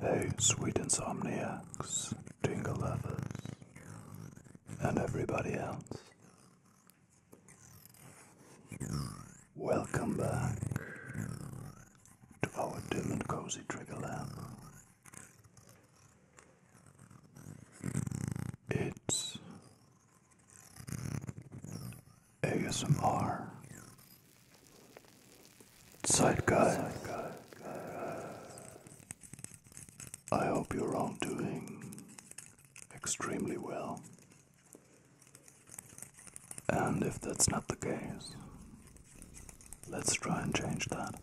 Hey, sweet insomniacs, tingle lovers, and everybody else. Welcome back to our dim and cozy trigger lamp. It's ASMR Side Guy. I hope you're all doing extremely well. And if that's not the case, let's try and change that.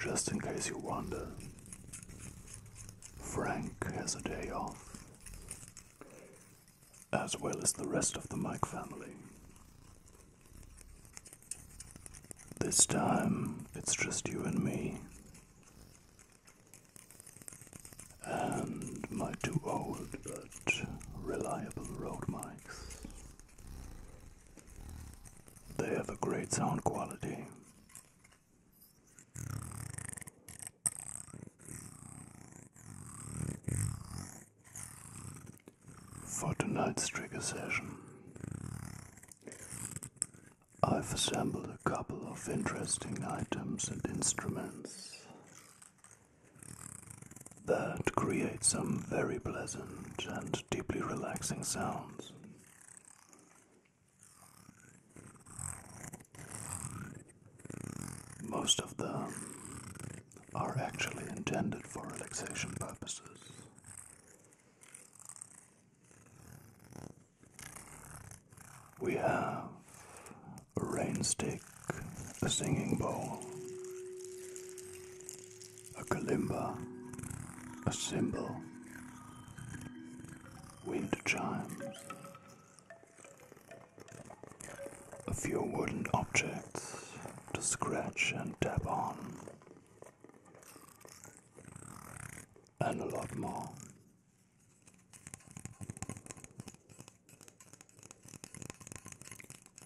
Just in case you wonder, Frank has a day off, as well as the rest of the Mike family. This time it's just you and me. And my two old but reliable road mics. They have a great sound quality for tonight's trigger session. I've assembled a couple of interesting items and instruments that create some very pleasant and deeply relaxing sounds. Most of them are actually intended for relaxation purposes, we have a rainstick, a singing bowl, a kalimba, a cymbal, wind chimes, a few wooden objects to scratch and tap on, and a lot more.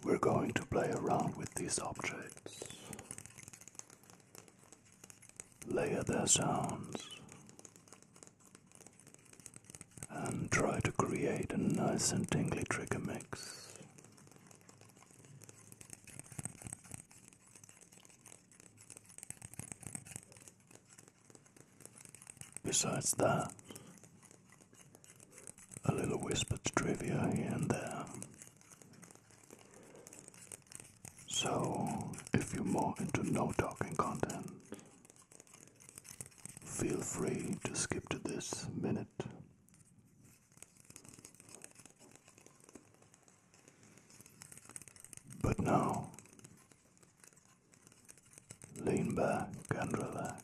We're going to play around with these objects, layer their sounds, and try to create a nice and tingly trigger mix. Besides that, a little whispered trivia here and there. So, if you're more into no talking content, feel free to skip to this minute but now, lean back and relax.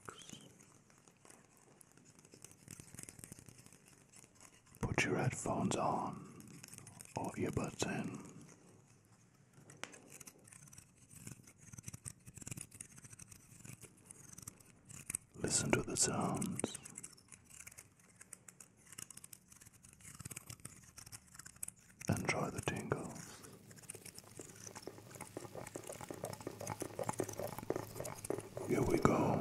Put your headphones on or earbuds in. Listen to the sounds and try the tingles. Here we go.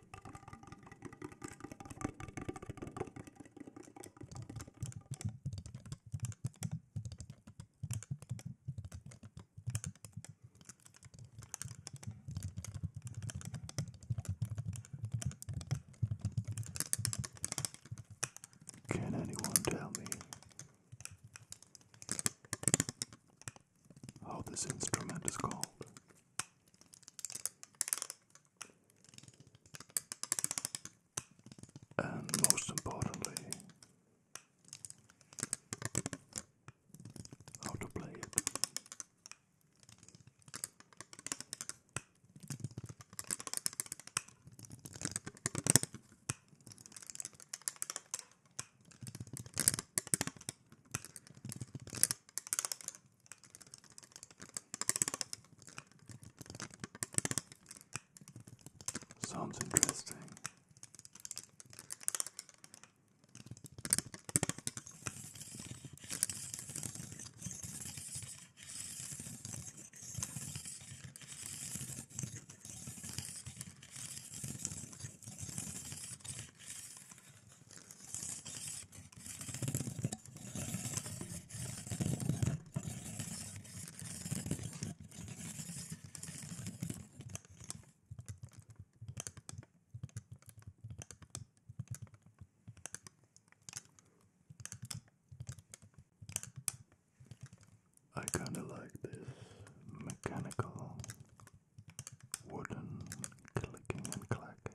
Can anyone tell me how this instrument is called? And most importantly, how to play it. Sounds interesting. I kind of like this mechanical wooden clicking and clacking.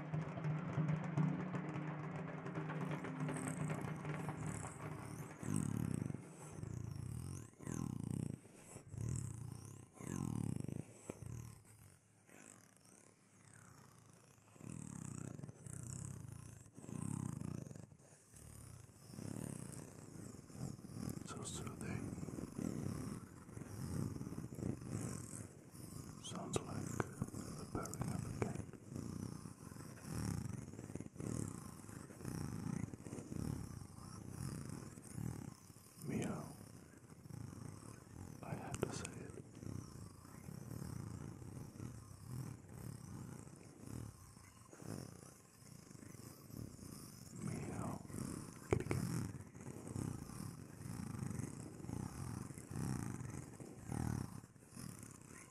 So soothing. Sounds like the purring of a cat. Meow. I had to say it. Meow. Get it again. Meow.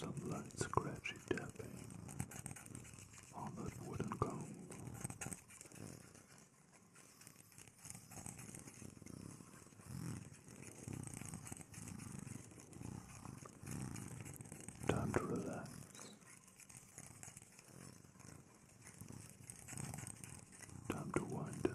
Some light scratchy tapping on that wooden comb. Time to relax. Time to wind down.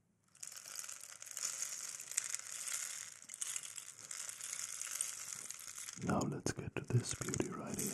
Now let's get to this beauty right here.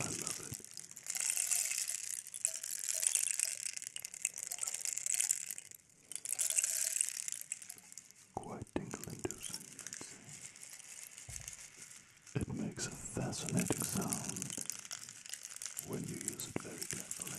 I love it. Quite tingle inducing, It makes a fascinating sound when you use it very carefully.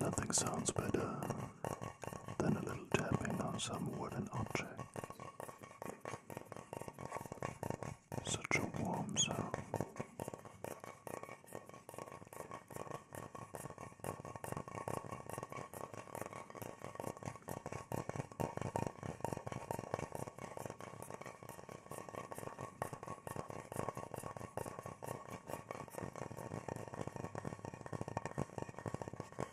Nothing sounds better then a little tapping on some wooden object. Such a warm sound.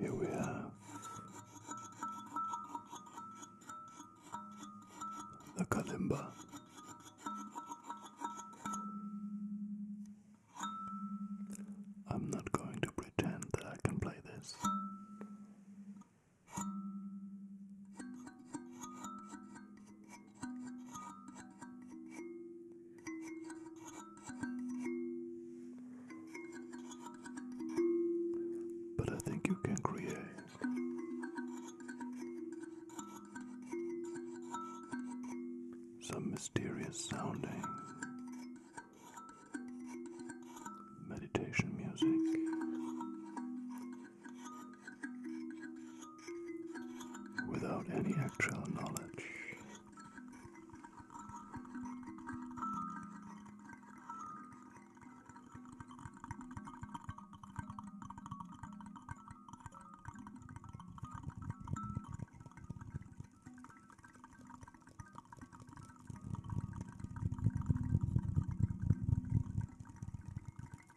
Here we have the kalimba. I'm not going to pretend that I can play this. But I think you can create. Some mysterious sounding meditation music without any actual knowledge.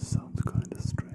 Sounds kind of strange.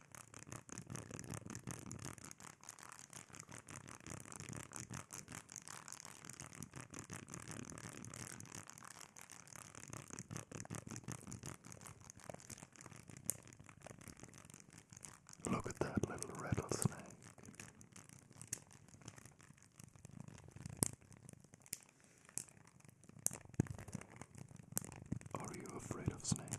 Look at that little rattlesnake. Are you afraid of snakes?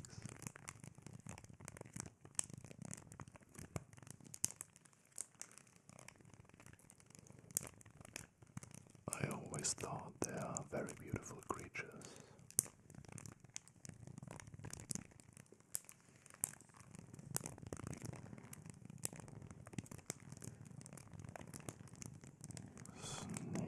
I always thought they are very beautiful creatures. Snake.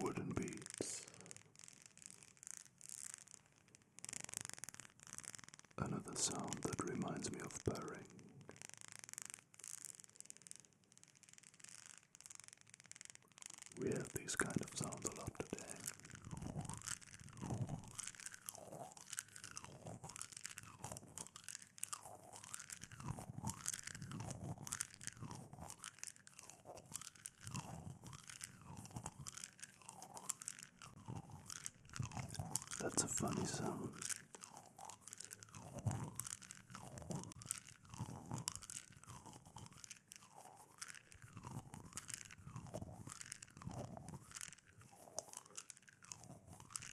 wooden beats, another sound that reminds me of purring. We have these kind of sounds a lot today. That's a funny sound.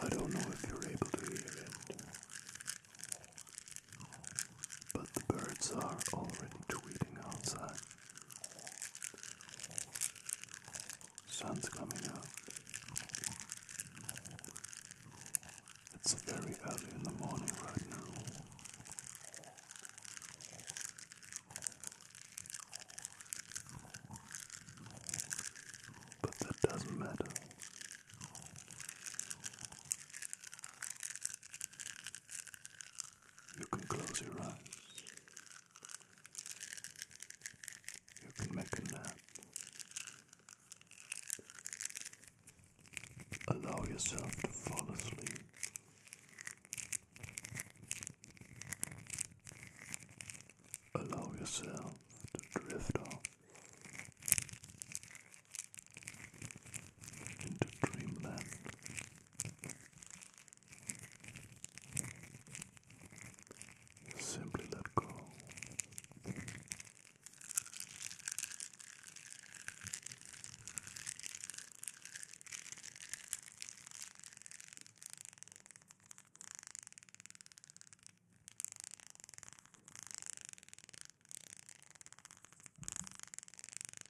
I don't know if you're able to hear it. But the birds are already tweeting outside. Sun's coming up. It's very early in the morning right now. But that doesn't matter. You can close your eyes. You can make a nap. Allow yourself to fall asleep. Allow yourself to drift off into dreamland. Simply let go.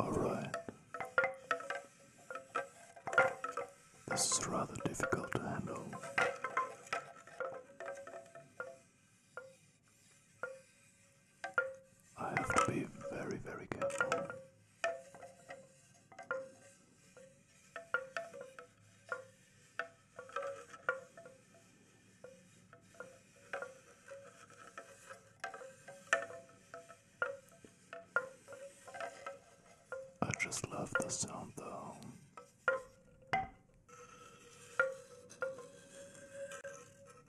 All right. This is rather difficult to handle. I have to be very, very careful. I just love the sound though.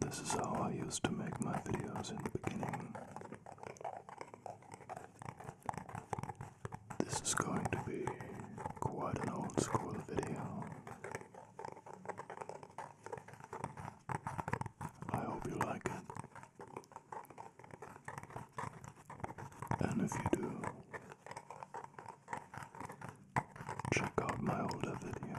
This is how I used to make my videos in the beginning. This is going to be quite an old school video. I hope you like it. And if you do, check out my older videos.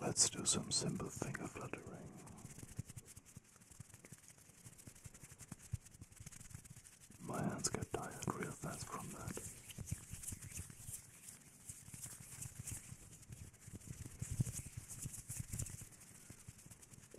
Let's do some simple finger fluttering. My hands get tired real fast from that.